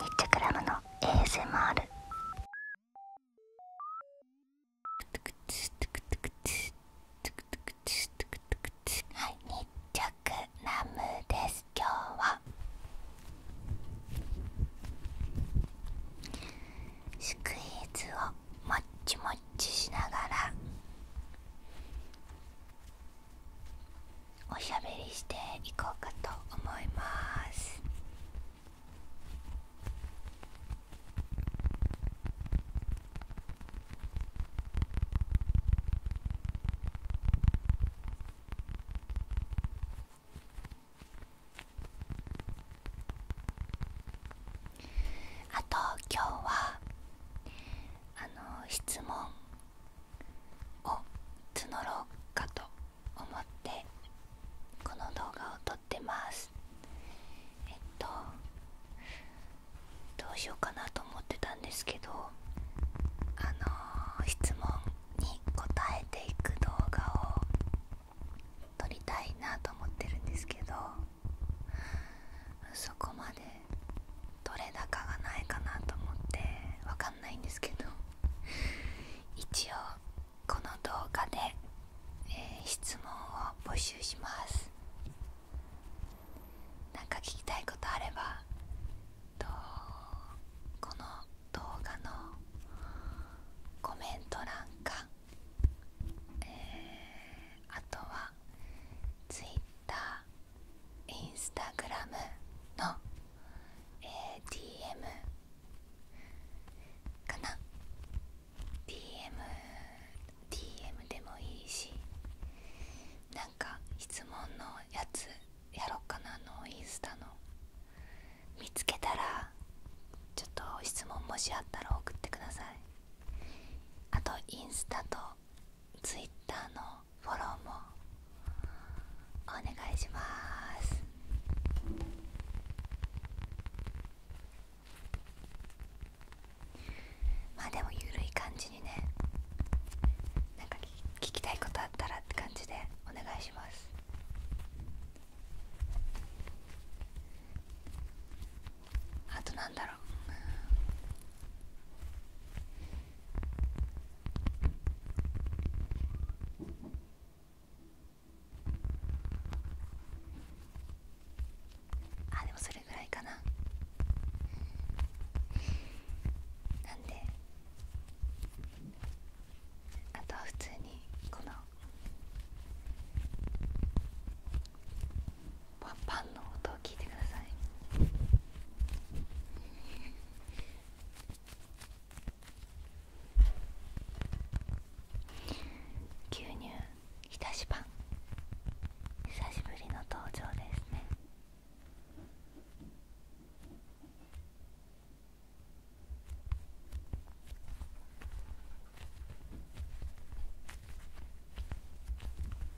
ニッチェクラムの ASMR はいニッチェクラムです今日はスクイーズをもっちもっちしながらおしゃべりしていこうかと思いますあと今日はあの質問を募ろうかと思ってこの動画を撮ってますどうしようかなと思ってたんですけどあの質問に答えていく動画を撮りたいなと思ってるんですけどそこまで取れ高がないかなと思ってわかんないんですけど 一応この動画で、え質問を募集しますなか聞きたいことあればこの動画のコメント欄か、えあとは Twitter インスタグラムの DM かな DMDM でもいいしなんか質問のやつやろっかなあのインスタの見つけたらちょっと質問もしあったら送ってくださいあとインスタとツイッターのフォローもお願いしますまあでもゆるい感じにねなんか聞きたいことあったらって感じでお願いしますあとなんだろうあでもそれぐらいかななんであとは普通にこのワンパンの音を聞いてください。牛乳ひたしパン久しぶりの登場ですね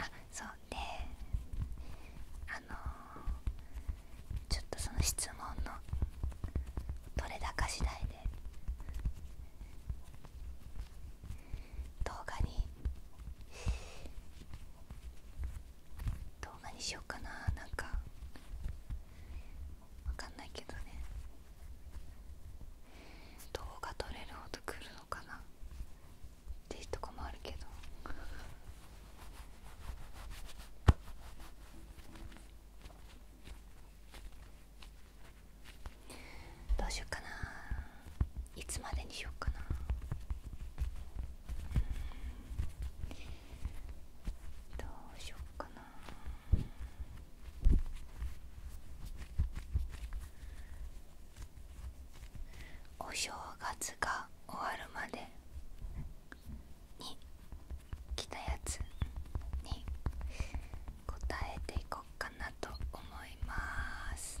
あそうであのちょっとその質問の取れ高次第で動画に動画にしようかななんかわかんないけどね動画撮れるほど来るのかなっていうとこもあるけどどうしようかないつまでにしようかなどうしよっかなお正月が終わるまでに来たやつに答えていこうかなと思います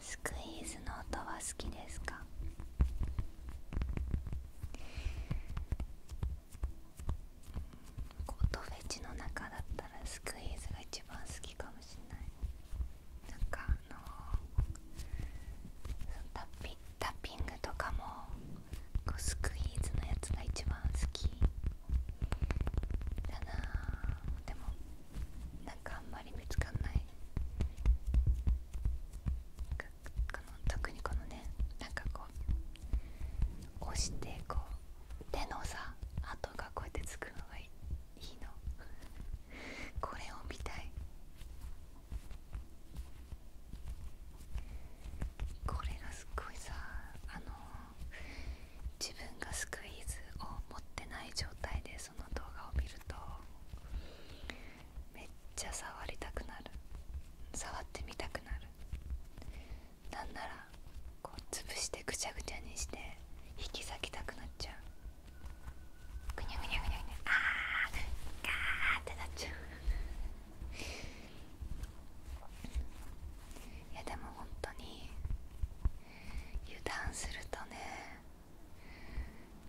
スクイーズの音は好きですか音フェチの中だったらスクイーズが一番好きかもしれないなんかあのタッピタッピングとかもこうスクイーズのやつが一番好きだなでもなんかあんまり見つかんないこの特にこのねなんかこう押してこう手のさ跡がこうやってつくのがいいのこれを見たいこれがすっごいさあの自分がスクイーズを持ってない状態でその動画を見るとめっちゃ触りたくなる触ってみたくなるなんならこう潰してぐちゃぐちゃにして引き裂きたくなっちゃうぐにゃぐにゃぐにゃぐにゃあーガーってなっちゃういやでも本当に油断するとね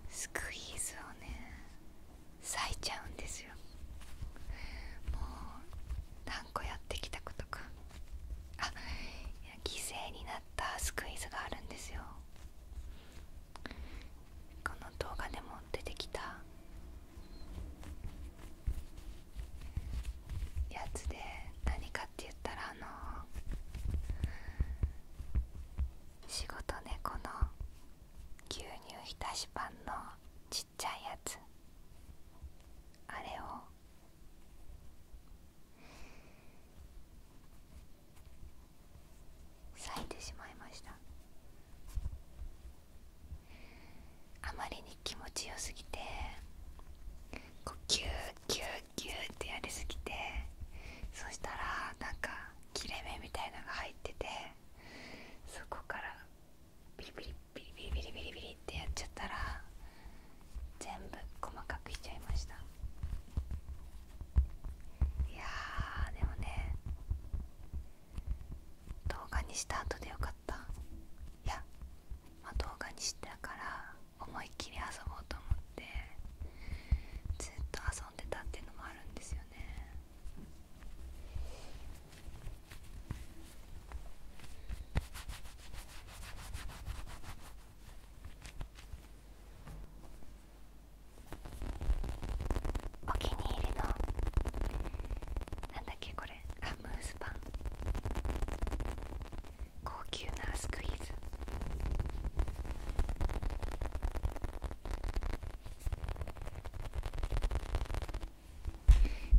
スクイーズをね裂いちゃうんですよもう何個やってきたことかあ犠牲になったスクイズがあるんですよこの動画でも出てきたやつで何かって言ったらあの仕事ねこの牛乳浸しパンのちっちゃいやつあれを咲いてしまいましたあまりに気持ちよすぎてこうギューギューギューってやりすぎてそしたらなんか切れ目みたいのが入っててそこからビリビリビリビリビリビリってやっちゃったら全部細かくしちゃいましたいやーでもね動画にした後でよかったいや、ま動画にしてたから思いっきり遊ぼうと思ってずっと遊んでたっていうのもあるんですよねお気に入りのなんだっけこれあムースパン高級なスクイーズ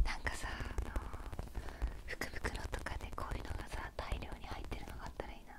なんかさあの福袋とかでこういうのがさ大量に入ってるのがあったらいいなあ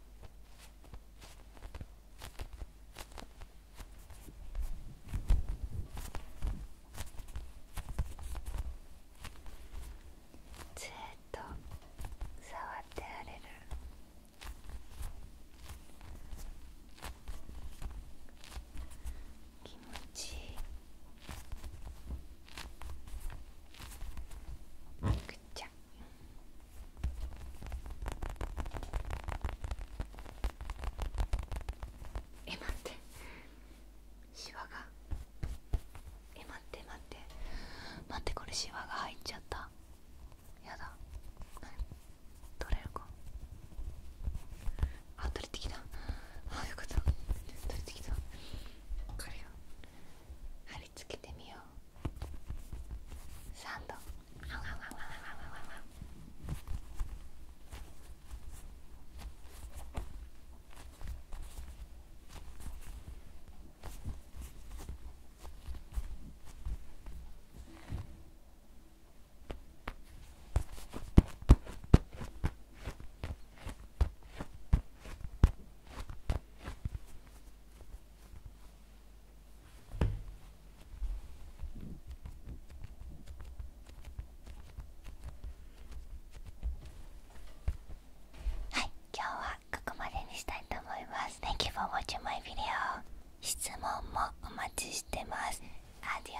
ずっと触ってられる気持ちいい。くちゃえ待ってシワがえ待って待って待ってこれシワが入っちゃったやだ取れるかあ取れてきたあよかった取れてきたこれをは貼り付けてみようサンドあわわわわわわわこはい、今日はここまでにしたいと思います。Thank you for watching my video. 質問もお待ちしてます。アディオー